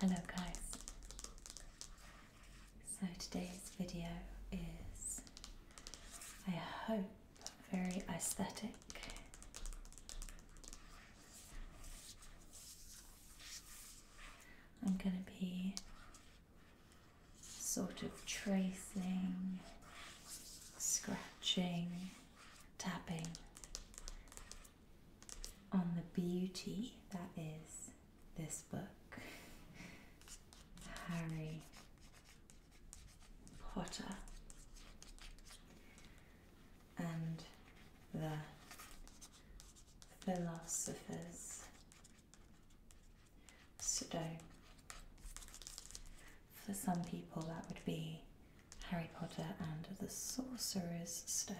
Hello guys. So today's video is I hope very aesthetic. I'm going to be sort of tracing, scratching, tapping on the beauty that is this book, Harry Potter, and the Philosopher's Stone. For some people, that would be Harry Potter and the Sorcerer's Stone.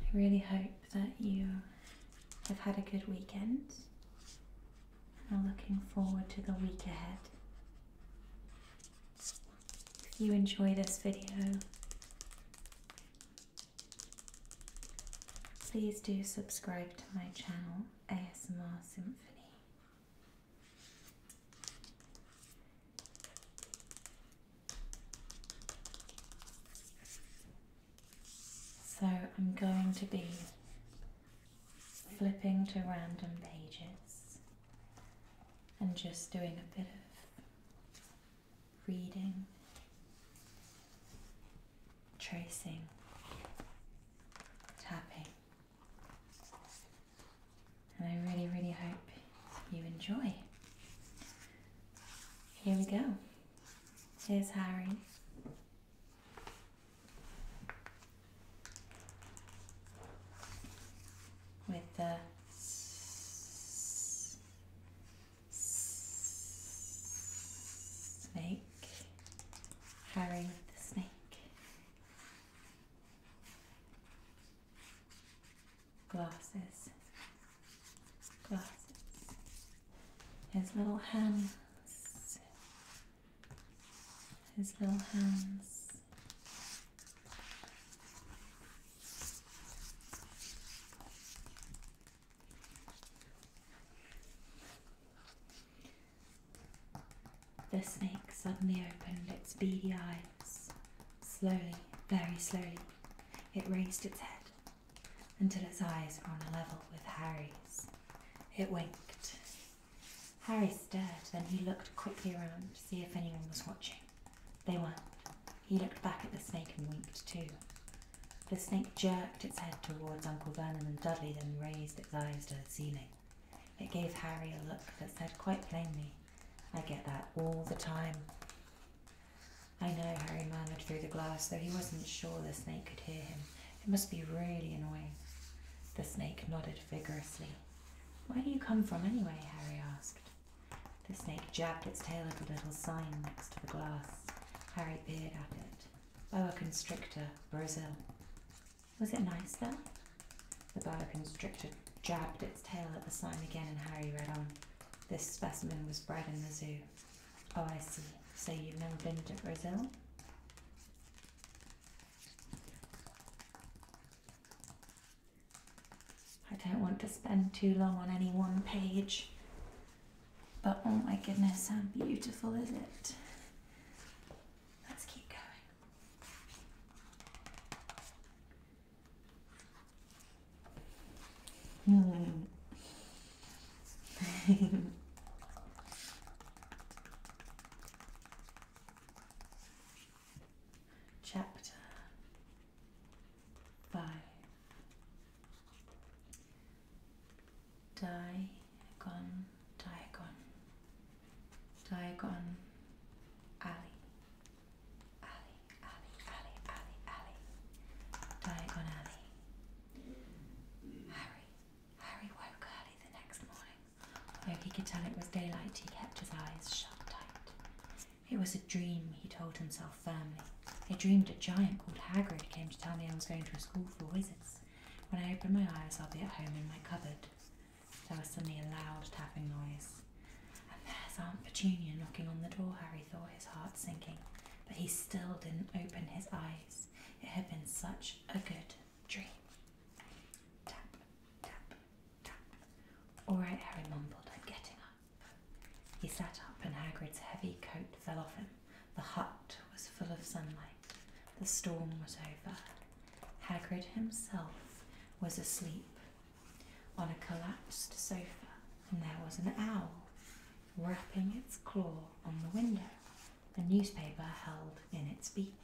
I really hope that you have had a good weekend I'm looking forward to the week ahead. If you enjoy this video, Please do subscribe to my channel, ASMR Symphony. So I'm going to be flipping to random pages and just doing a bit of reading, tracing, tapping. And I really, really hope you enjoy. Here we go. Here's Harry. With the snake, Harry the snake. Glasses, glasses. His little hands, his little hands. The snake suddenly opened its beady eyes. Slowly, very slowly, it raised its head until its eyes were on a level with Harry's. It winked. Harry stared, then he looked quickly around to see if anyone was watching. They weren't. He looked back at the snake and winked too. The snake jerked its head towards Uncle Vernon and Dudley, then raised its eyes to the ceiling. It gave Harry a look that said quite plainly, I get that all the time. I know, Harry murmured through the glass, though he wasn't sure the snake could hear him. It must be really annoying. The snake nodded vigorously. Where do you come from anyway? Harry asked. The snake jabbed its tail at a little sign next to the glass. Harry Beard it. boa oh, constrictor, Brazil. Was it nice there? The boa constrictor jabbed its tail at the sign again, and Harry read on. This specimen was bred in the zoo. Oh, I see. So you've never been to Brazil? I don't want to spend too long on any one page. But oh my goodness, how beautiful is it? Let's keep going. Hmm. Chapter 5 Diagon, Diagon, Diagon Alley, Alley, Alley, Alley, Alley, Alley, Diagon Alley. Harry, Harry woke early the next morning. Though he could tell it was daylight, he kept his eyes shut tight. It was a dream, he told himself family. I dreamed a giant called Hagrid came to tell me I was going to a school for wizards. When I open my eyes, I'll be at home in my cupboard. There was suddenly a loud tapping noise. And there's Aunt Petunia knocking on the door, Harry thought, his heart sinking. But he still didn't open his eyes. It had been such a good dream. Tap, tap, tap. All right, Harry mumbled, I'm getting he sat up, and Hagrid's heavy coat fell off him. The hut was full of sunlight. The storm was over. Hagrid himself was asleep on a collapsed sofa, and there was an owl wrapping its claw on the window, a newspaper held in its beak.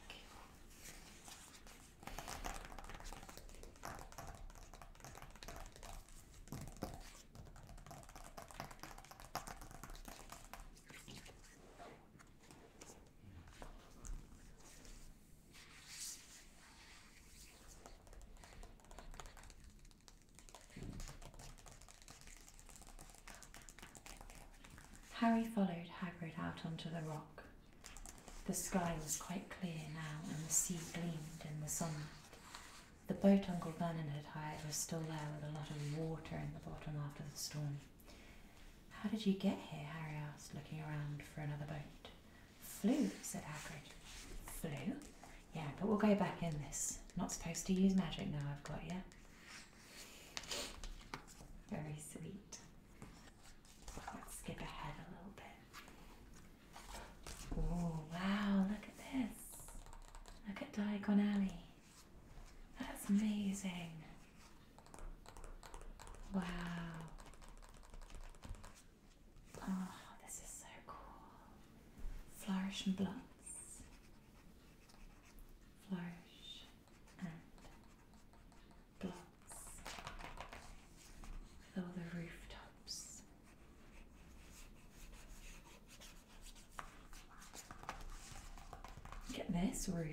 Harry followed Hagrid out onto the rock. The sky was quite clear now, and the sea gleamed in the sunlight. The boat Uncle Vernon had hired was still there with a lot of water in the bottom after the storm. How did you get here? Harry asked, looking around for another boat. Flew, said Hagrid. Flew? Yeah, but we'll go back in this. Not supposed to use magic now, I've got you. Very sweet. Let's skip ahead a little bit. Oh, wow, look at this. Look at Diagon That's amazing. Wow. Oh, this is so cool. Flourish and blots. Flourish and blots. With the rooftops. Look at this roof.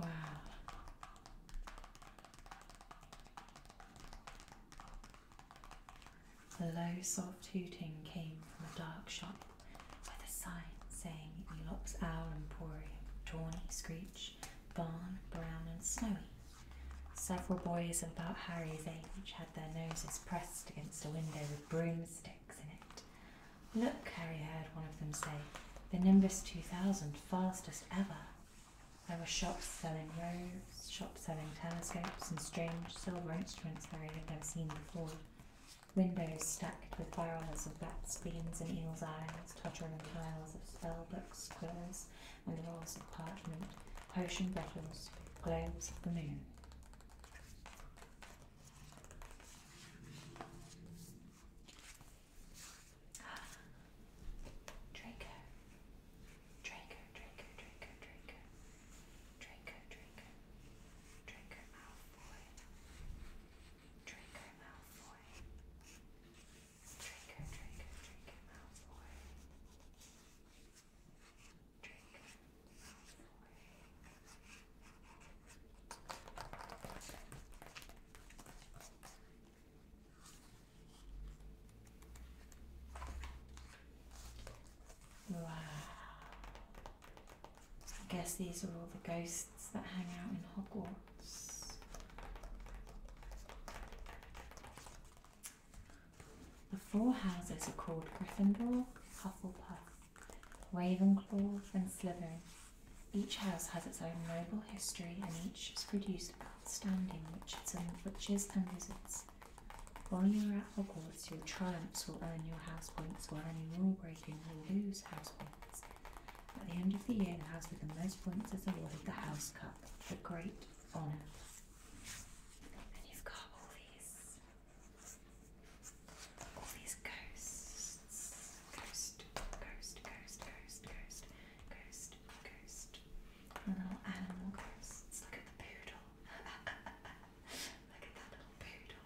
Wow. A low soft hooting came from a dark shop with a sign saying Elop's Owl Emporium, Tawny, Screech, Barn, Brown and Snowy. Several boys of about Harry's age had their noses pressed against a window with broomsticks in it. Look, Harry heard one of them say, the Nimbus 2000, fastest ever. There were shops selling robes, shops selling telescopes, and strange silver instruments Harry had never seen before. Windows stacked with barrels of bats, beans, and eels' eyes, tottering piles of spell books, quills, and rolls of parchment, potion bottles, globes of the moon. Draco. Draco, Draco, Draco, Draco. Draco, Draco. Malfoy. Draco Malfoy. Draco, Draco, Draco Malfoy. Wow. I guess these are all the ghosts that hang out in Hogwarts. The four houses are called Gryffindor, Hufflepuff, Ravenclaw, and Slytherin. Each house has its own noble history, and each has produced outstanding witches and, witches and wizards. While you are at Hogwarts, your triumphs will earn you house points, while any rule breaking will lose house points. At the end of the year, the house with the most points is awarded the House Cup, a great honour. And you've got all these all these ghosts. Ghost, ghost, ghost, ghost, ghost, ghost, ghost. And little animal ghosts. Look at the poodle. Look at that little poodle.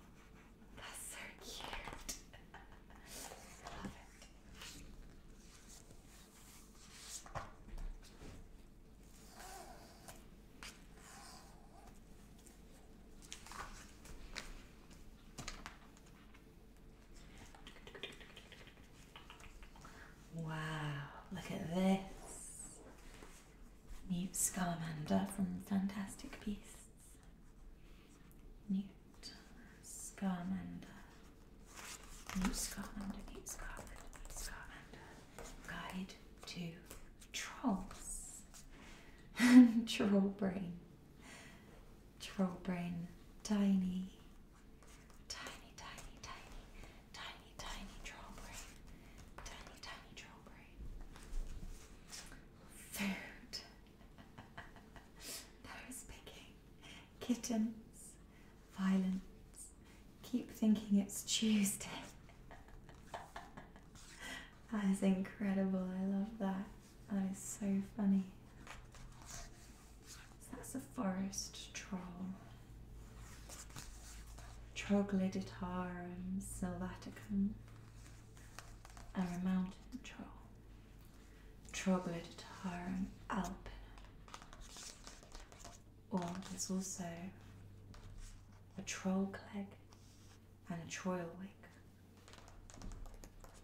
That's so cute. Love it. Wow, look at this. new Scamander from Fantastic Beasts. Newt Scamander. New Scamander, Newt Scamander, Newt Scamander. Guide to Trolls. Troll brain. Troll brain. Tiny. Tiny, tiny, tiny, tiny, troll brain. Tiny, tiny troll brain. Food. Berries picking. Kittens violence. Keep thinking it's Tuesday. that is incredible. I love that. That is so funny. that's a forest troll. Troglodytarum sylvaticum a mountain troll. Troglodytarum alpinum. Or oh, there's also a troll cleg and a troll wig.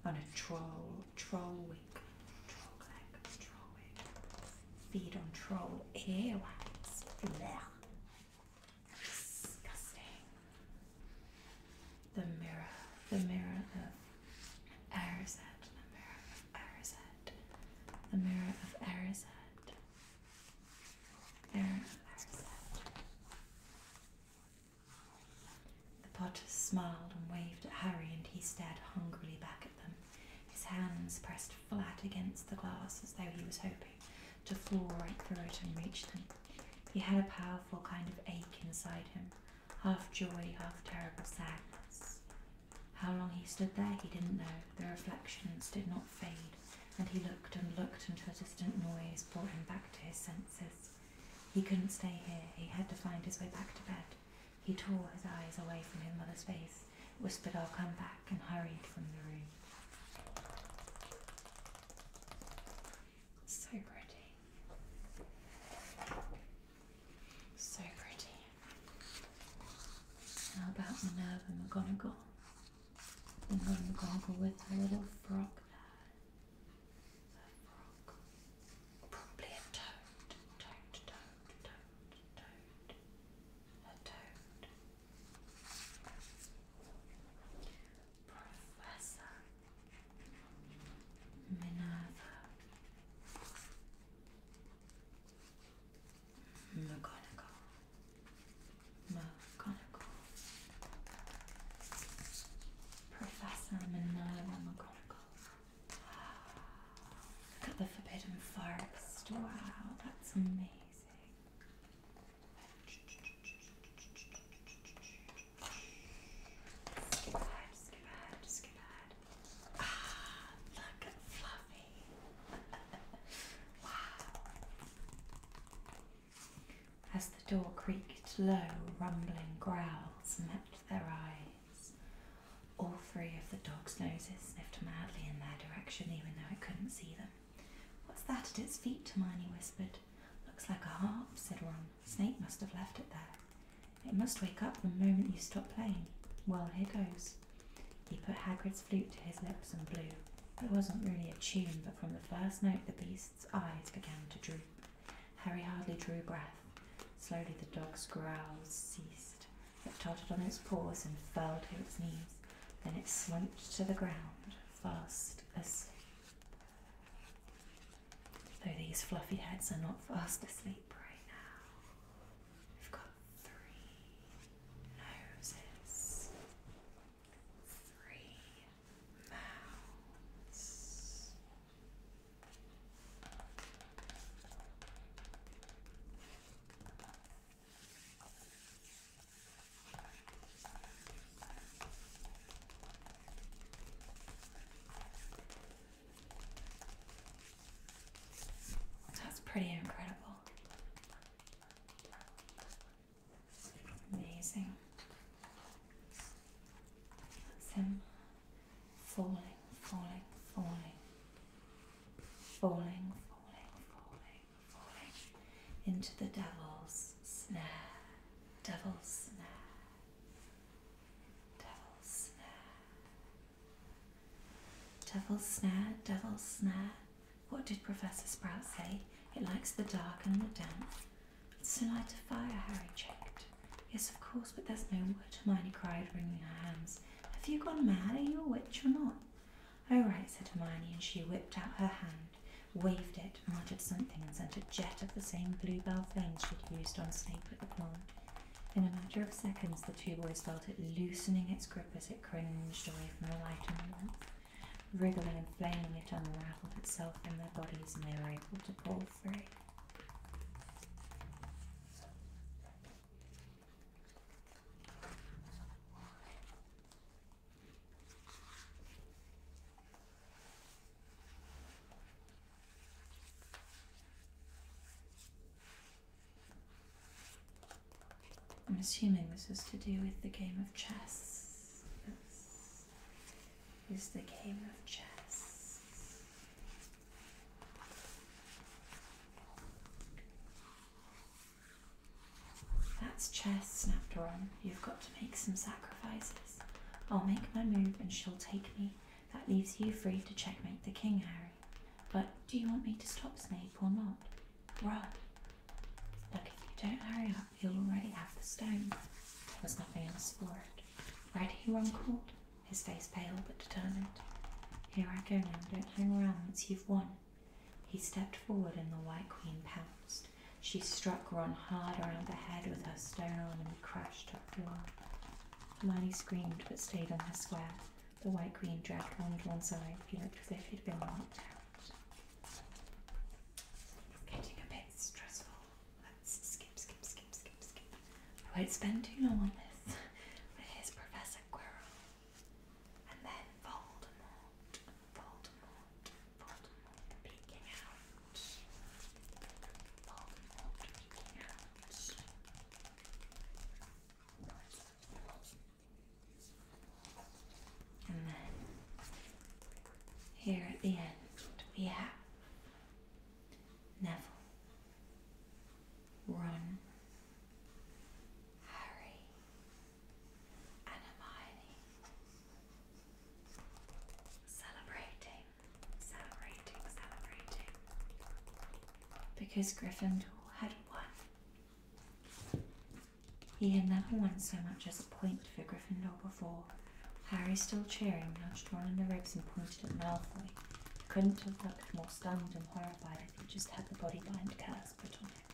And a troll, troll wig. Troll cleg, troll wig. Feed on troll airways. Disgusting. The mirror, the mirror of Erised, the mirror of Erised, the mirror of Erised. The Potter smiled and waved at Harry, and he stared hungrily back at them, his hands pressed flat against the glass as though he was hoping to fall right through it and reach them. He had a powerful kind of ache inside him, half joy, half terrible sadness. How long he stood there he didn't know. The reflections did not fade, and he looked and looked until a distant noise brought him back to his senses. He couldn't stay here. He had to find his way back to bed. He tore his eyes away from his mother's face, whispered, I'll come back, and hurried from the room. So pretty. So pretty. How about Minerva McGonagall? Minerva McGonagall with her little frog Her frog. Probably a toad. Toad, toad, toad, toad. A toad. Professor Minerva. McGonagall. McGonagall. Professor Minerva McGonagall. Look at the Forbidden Forest. Wow, that's amazing. Skip ahead, skip ahead, ahead. Ah, look at Fluffy. As the door creaked low, rumbling growls met their eyes. All three of the dog's noses sniffed madly in their direction, even though I couldn't see them. What's that at its feet? Hermione whispered. Looks like a harp, said Ron. Snape must have left it there. It must wake up the moment you stop playing. Well, here goes. He put Hagrid's flute to his lips and blew. It wasn't really a tune, but from the first note the beast's eyes began to droop. Harry hardly drew breath. Slowly the dog's growls ceased. It tottered on its paws and fell to its knees. Then it slumped to the ground, fast asleep. Though these fluffy heads are not fast asleep right now. We've got three noses, three mouths. That's pretty incredible. Amazing. him falling, falling, falling, falling, falling, falling, falling into the devil's snare, devil's snare, devil's snare. Devil's snare, devil's snare. What did Professor Sprout say? It likes the dark and the damp. It's to light a fire, Harry checked. Yes, of course, but there's no wood, Hermione cried, wringing her hands. Have you gone mad? Are you a witch or not? Oh, right, said Hermione, and she whipped out her hand, waved it, muttered something, and sent a jet of the same bluebell flames she'd used on Snape at the plant. In a matter of seconds, the two boys felt it loosening its grip as it cringed away from the light and warmth, Wriggling and flailing, it unraveled itself in their bodies and they were able to pull free. I'm assuming this is to do with the game of chess. This is the game of chess. That's chess, snapped Ron. You've got to make some sacrifices. I'll make my move and she'll take me. That leaves you free to checkmate the king, Harry. But do you want me to stop Snape or not? Run. Look, if you don't hurry up, you'll already have the stone. There's nothing else for it. Ready, Ron called, his face pale but determined. Here I go now, don't hang around once you've won. He stepped forward and the White Queen pounced. She struck Ron hard around the head with her stone and he crashed to the floor. Hermione screamed but stayed on the square the white queen dragged only to one side. He looked as if he'd been knocked out. It's getting a bit stressful. Let's skip, skip, skip, skip, skip. I won't spend too long on this. But here's Professor Quirrell. And then Voldemort. Voldemort. Voldemort peeking out. Voldemort peeking out. And then here at the end, we have Neville, Ron, Harry, and Hermione celebrating, celebrating, celebrating because Gryffindor had won he had never won so much as a point for Gryffindor before. Harry, still cheering, nudged Ron in the ribs and pointed at Malfoy. He couldn't have looked more stunned and horrified if he just had the body bind curse put on him.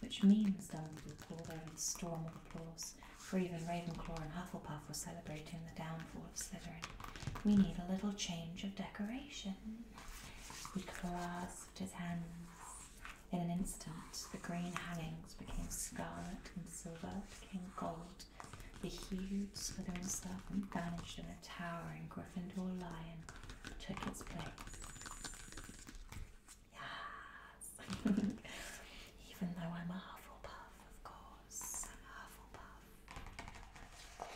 Which means Dumbledore pulled over the storm of applause, for even Ravenclaw and Hufflepuff were celebrating the downfall of Slytherin. We need a little change of decoration. He clasped his hands. In an instant, the green hangings became scarlet and silver became gold. The huge slithering serpent vanished and a towering Gryffindor lion took its place. Yes! Even though I'm a Hufflepuff, of course. I'm a Hufflepuff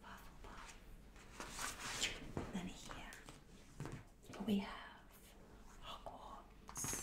waffle ball. Then here we have Hogwarts.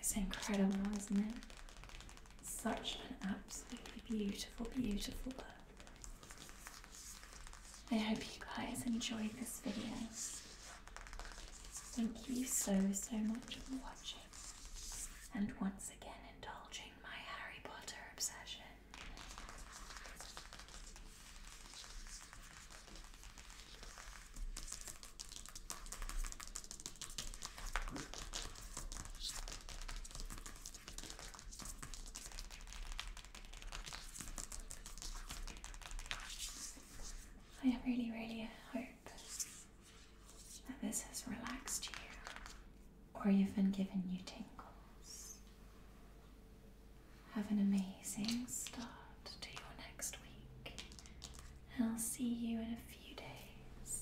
It's incredible, isn't it? Such an absolutely beautiful, beautiful bird. I hope you guys enjoyed this video. Thank you so, so much for watching and once again indulging my Harry Potter obsession. I really, really hope that this has relaxed you or you've been given new tingles. Have an amazing start to your next week. I'll see you in a few days.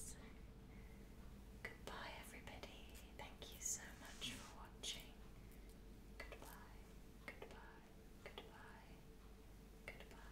Goodbye, everybody. Thank you so much for watching. Goodbye, goodbye, goodbye, goodbye.